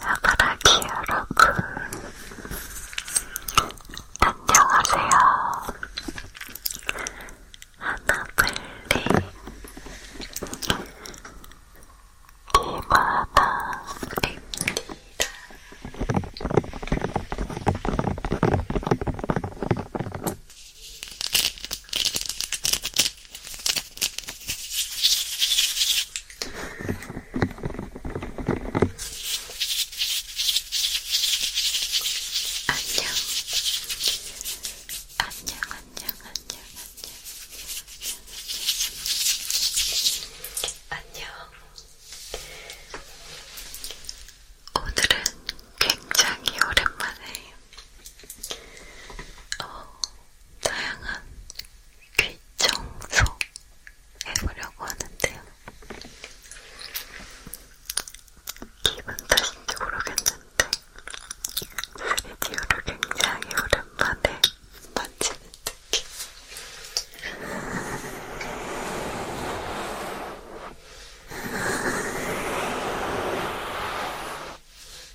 아가라기 여러분 안녕하세요 하나블리 디바나입니다 안녕. 안녕, 안녕, 안녕, 안녕, 안녕. 오늘은 굉장히 오랜만에 어, 다양한 귀 청소 해보려고 하는데요. 기분 탓인지 모르겠는데, 스튜디오를 굉장히 오랜만에 만지는 느낌.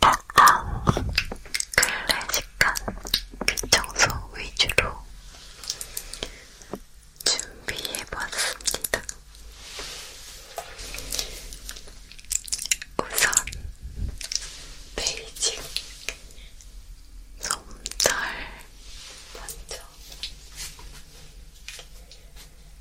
가까운 클래식한 귀청소 위주로 준비해봤습니다. 우선 베이직 솜털 먼저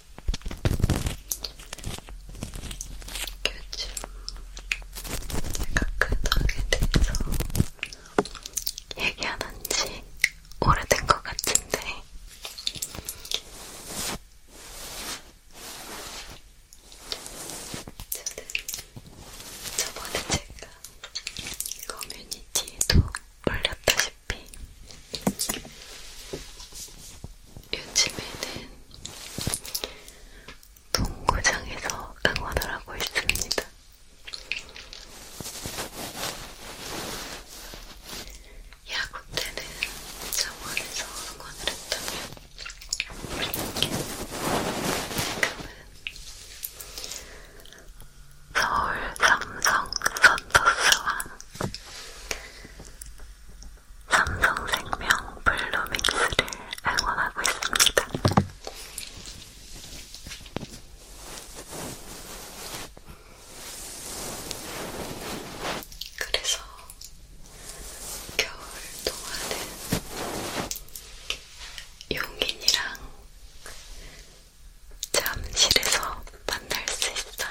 요즘 내가 그 덕에 대해서 얘기 안한지 오래된 것 같은데 저는 저번에 제가 커뮤니티에도 올렸다시피 요즘에는 동구장에서 응원을 하고 있습니다. 야구 때는 정원에서 응원을 했다면 지금은 서울 삼성 선더스와 삼성생명 블루믹스를 응원하고 있습니다. 그래서 겨울 동안은 용인이랑 잠실에서 만날 수 있어요.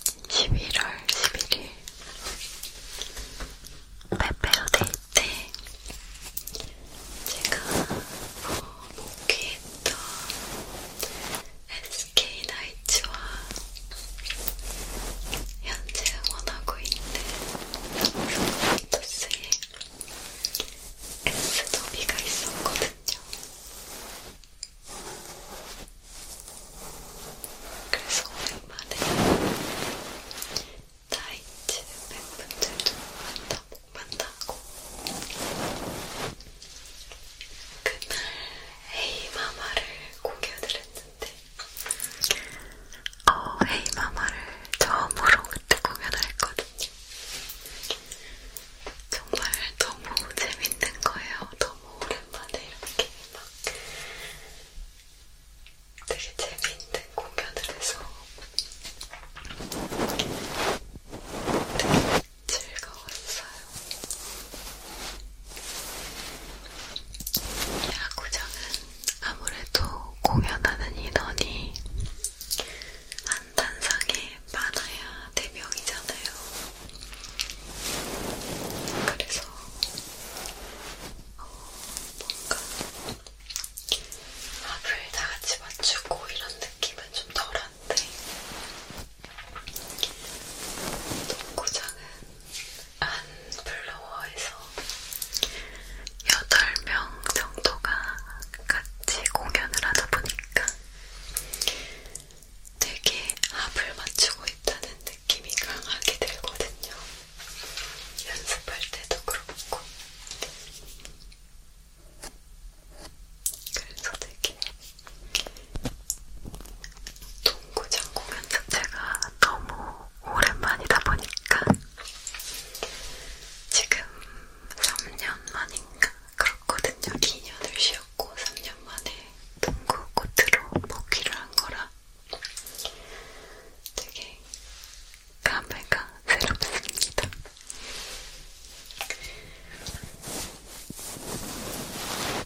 최근에 11월 11일 페페어 데이 때 제가 어, 뭐 목회했던 SK나이츠와 현재 응원하고 있는 토스의 S 더비가 있었거든요. 그래서 오랜만에 나이츠 팬분들도 만나고 만나고 그날 헤이마마를 공개를 했는데 어, 헤이마마를 처음으로 그때 공연을 했거든요. 정말 너무 재밌는 거예요. 너무 오랜만에 이렇게 막 되게 재밌는 공연을 해서 되게 즐거웠어요. 야구장은 아무래도 공연하는 인원이 한 단상에 많아야 대명이잖아요. 그래서 어, 뭔가 합을 다 같이 맞추고 이런 느낌은 좀 덜한데 독고장은 안블로어에서 8명 정도가 같이 공연을 하다 보니까 되게 합을 맞추고 있다는 느낌이 강하게 들거든요. 연습할 때도 그렇고. 그래서 되게 동구장 공연 자체가 너무 오랜만이다 보니까 지금 3년 만인가 그렇거든요. 2년을 쉬었고 3년 만에 동구 코트로 복귀를 한 거라 되게 감회가 새롭습니다.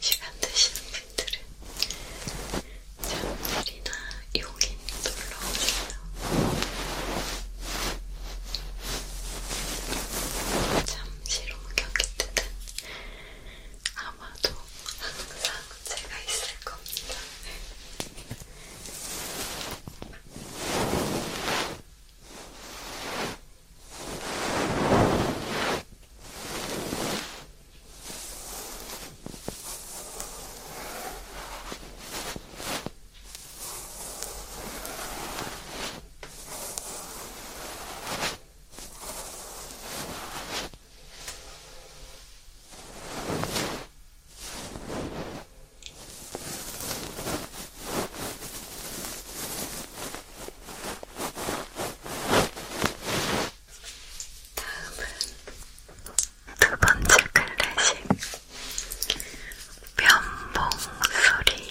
시간 되시는 분들은 잠들이나 용인 놀러오세요. 잠시로 겪게 되는 아마도 항상 제가 있을 겁니다. 두 번째 클래식 변봉 소리.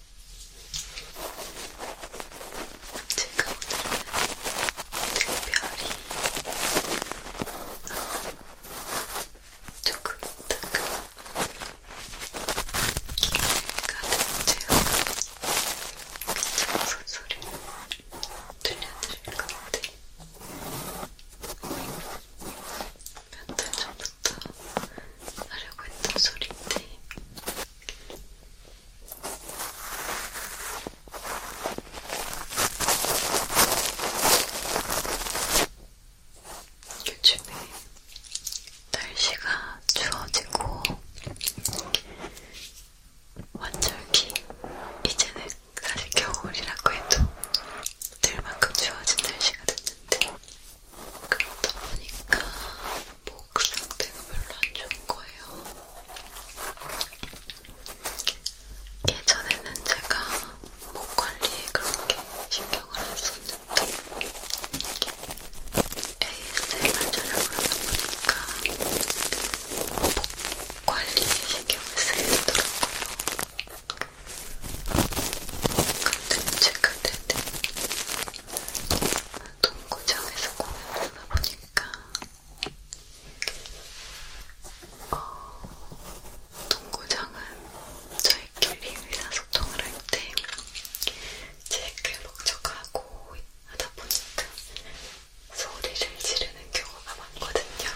제가 어, 오늘은 특별히 조금 조금 가득 채운 소리 들려드릴 것 같아요. 몇달 전부터 하려고 했던 소리인데 요즘에 날씨가 추워지고 완절기 이제는 사실 겨울이라고 해도 들만큼 추워진 날씨가 됐는데 그러다 보니까 목 상태가 별로 안 좋은 거예요. 예전에는 제가 목 관리에 그렇게 신경을 안 썼는데 ASMR 촬영을 하다 보니까 목 관리에 신경을 쓰게 되더라고요. 근데 제가 그때는 동구청에서 공연을 하다 보니까 어, 동구장은 저희끼리 의사소통을 할때 체크를 목적하고 하다 보니까 소리를 지르는 경우가 많거든요.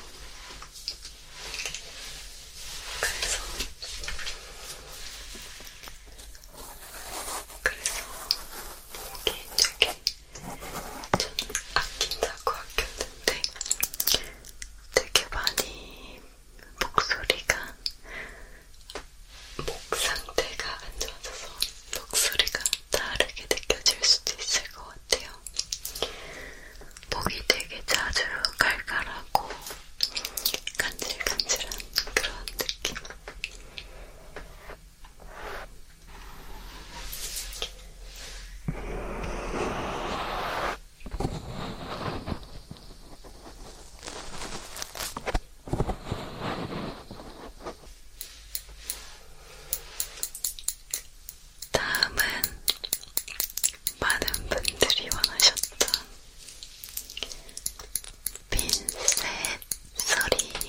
그래서 그래서 너무 개인적인 저는 아낀다고 아꼈는데 되게 많이 목소리가 목 상태가 안 좋아져서 목소리가 다르게 느껴질 수도 있을 것 같아요. 목이 되게 자주 갈갈하고 간질간질한 그런 느낌. 다음은 많은 분들이 원하셨던 핀셋 소리 음,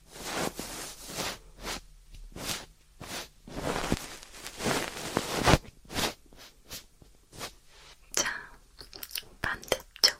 자, 반대쪽.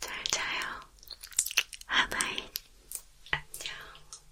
잘 자요. 하바이. 안녕.